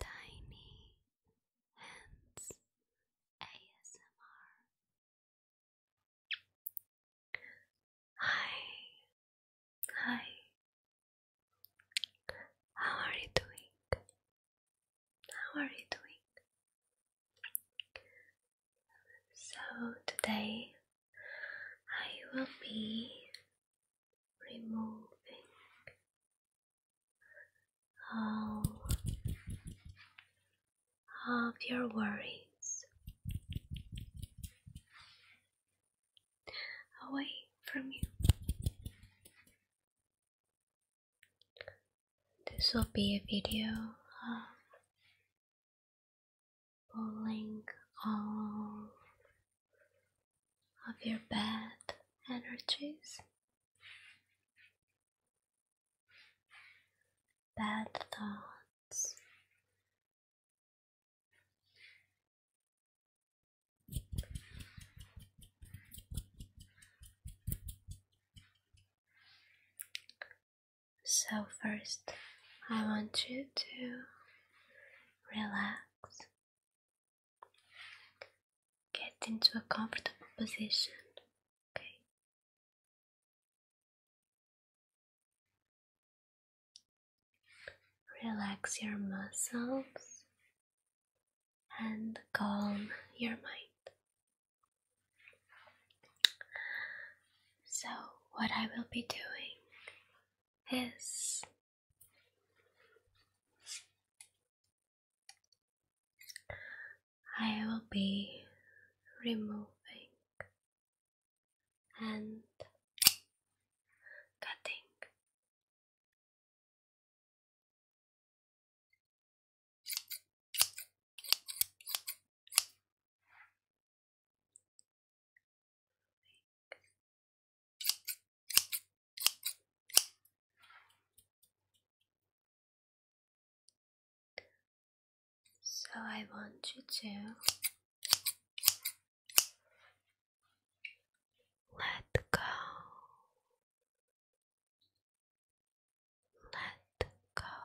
Tiny Hands ASMR. Hi, hi, how are you doing? How are you doing? So, today I will be removing all of your worries away from you. This will be a video of pulling all of your bad energies, bad thoughts. So, first, I want you to relax Get into a comfortable position, okay? Relax your muscles and calm your mind. So, what I will be doing is I will be removing and cutting. So I want you to let go, let go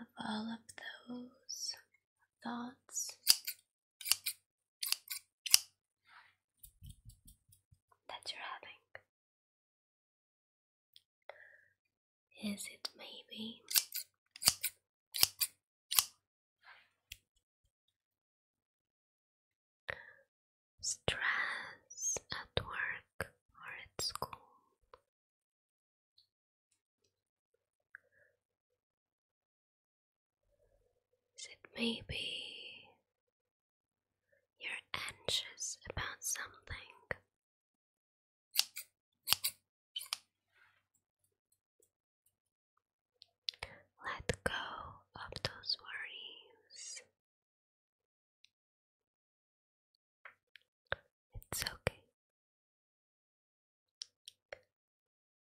of all of those thoughts that you're having. Is it maybe stress at work or at school? Is it maybe you're anxious about something? Let go of those worries. It's okay.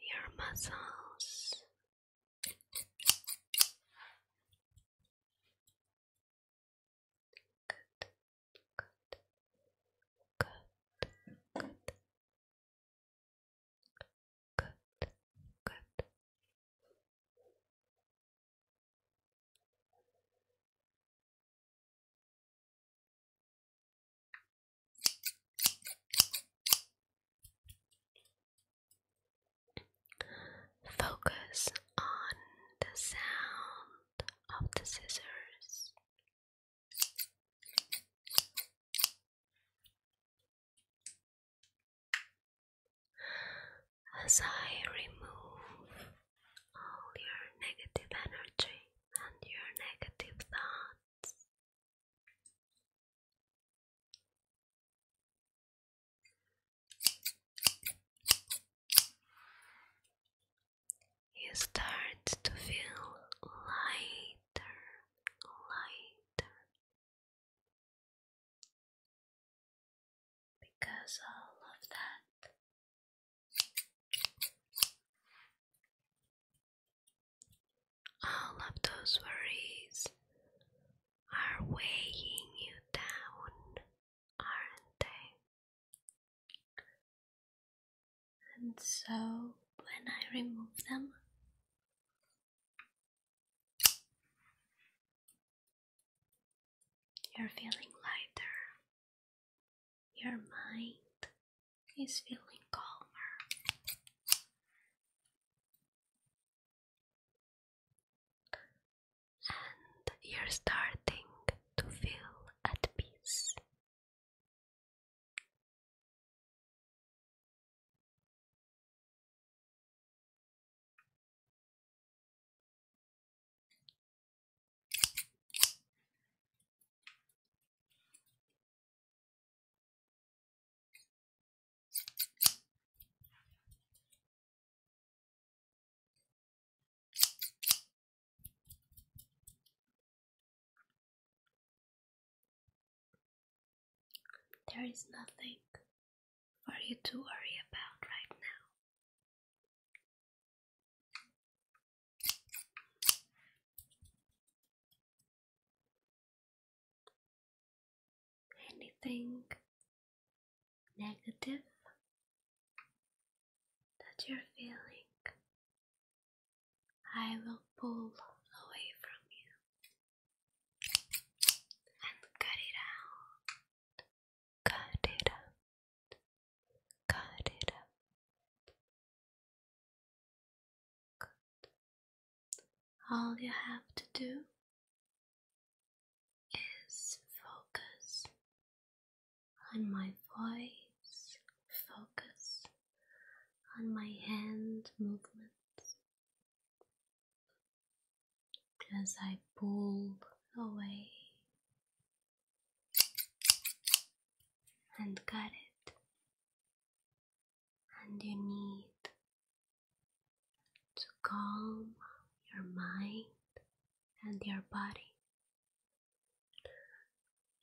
your muscles. Good, good, good, good, good, good. Focus on the sound of the scissors. As I remove all your negative energy and your negative thoughts. You start to feel lighter, lighter because of that all of those worries are weighing you down, aren't they? And so, when I remove them, you're feeling lighter, your mind He's feeling calmer. And you're starting to feel at peace. There is nothing for you to worry about right now anything negative that you're feeling, I will pull away from you and cut it out, cut it out, cut it out, all you have to do is focus on my voice, focus on my hand movements as I pull away and cut it and you need to calm your mind and your body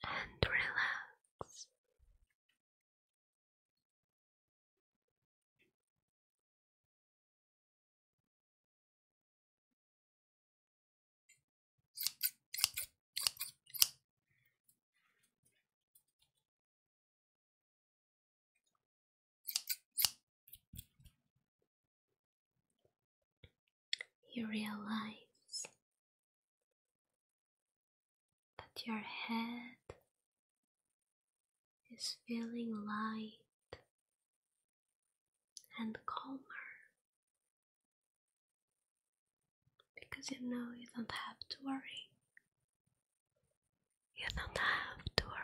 and relax. You realize that your head is feeling light and calmer because you know you don't have to worry you don't have to worry.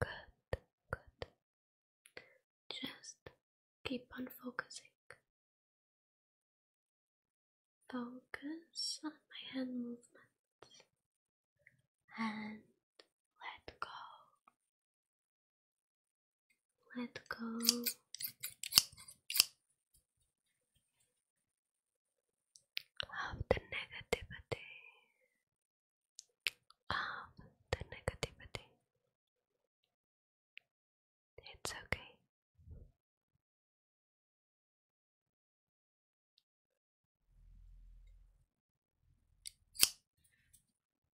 Good, good. Just keep on focusing. Focus on my hand movements and let go let go. Of the negativity, of the negativity. It's okay.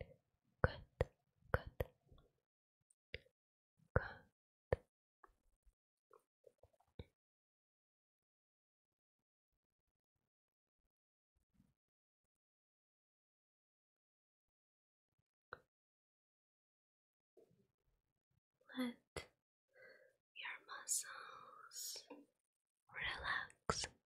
Good, good, good. Let your muscles relax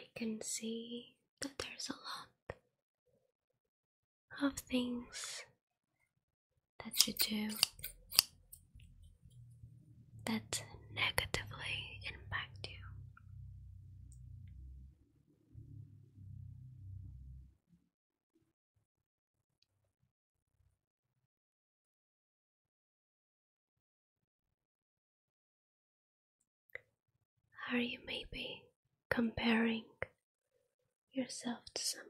I can see that there's a lot of things that you do that negatively impact you. Are you maybe comparing yourself to someone?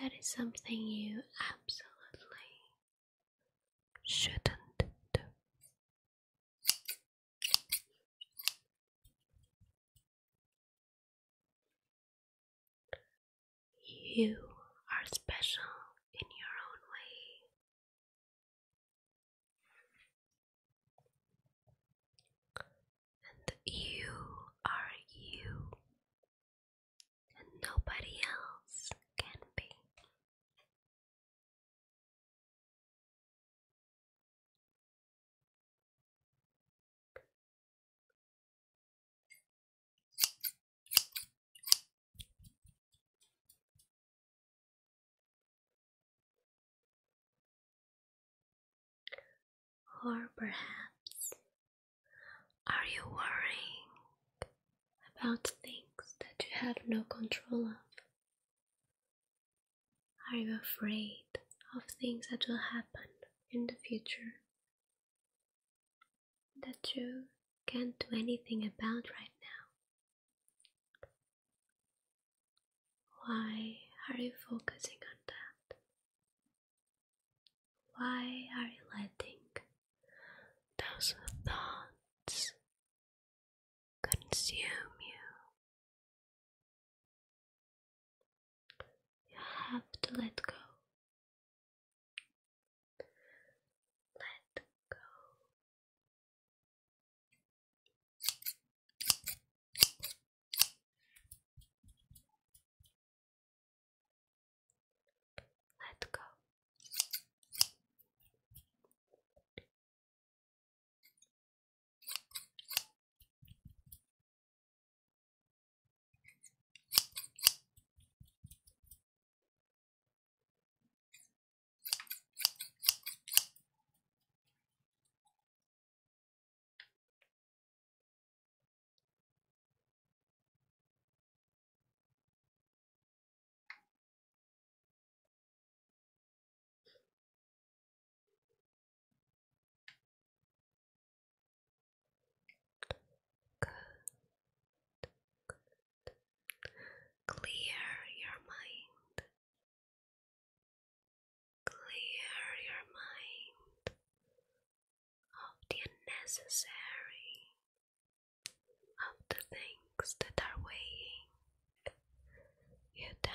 That is something you absolutely shouldn't do. You are special in your own way and you are you, and nobody else can be. Or perhaps, are you worrying about things that you have no control of? Are you afraid of things that will happen in the future that you can't do anything about right now? Why are you focusing on that? Why are you letting those thoughts consume you? You have to let go. Let go. Let go. Clear your mind. Clear your mind of the unnecessary, of the things that are weighing you down.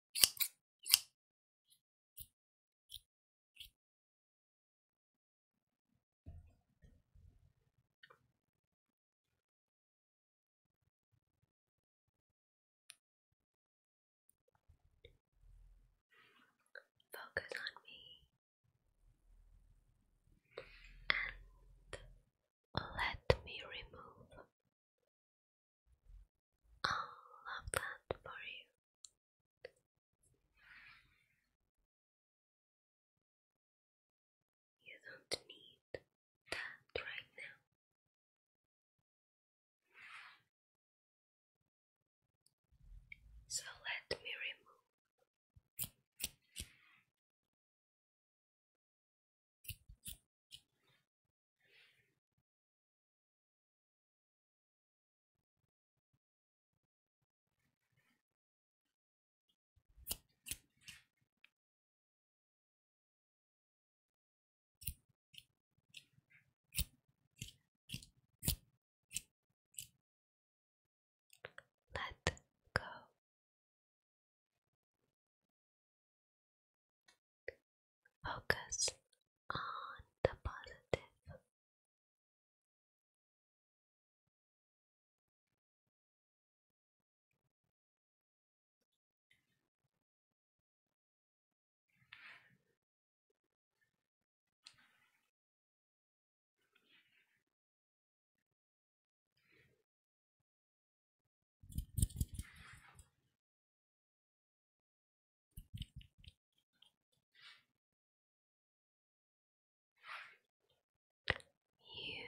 Focus on me and let me remove I'll love that for you. You don't need that right now. So let me remove. Let go. Focus on the positive. You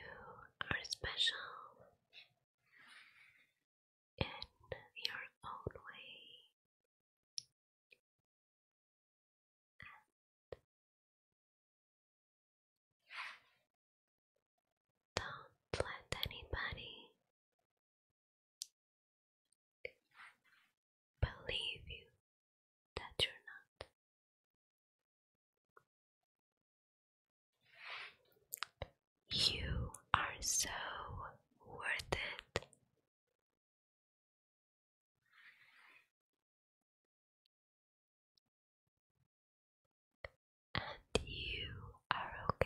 are special in your own way, don't let anybody believe you that you're not. You are so worth it. And you are okay.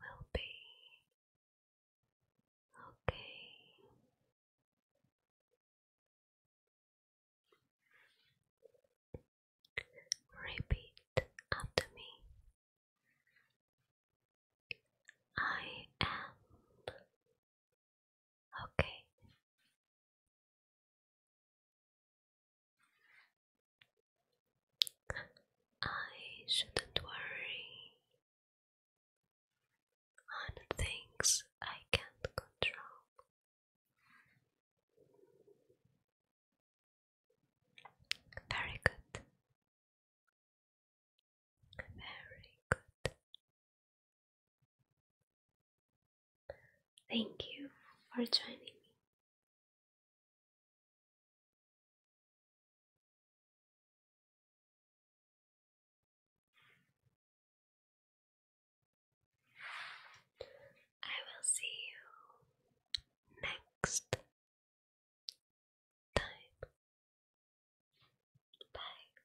will be okay. Repeat after me. I am okay. I shouldn't worry on things I can't control. Very good. Very good. Thank you for joining me. I will see you next time. Bye.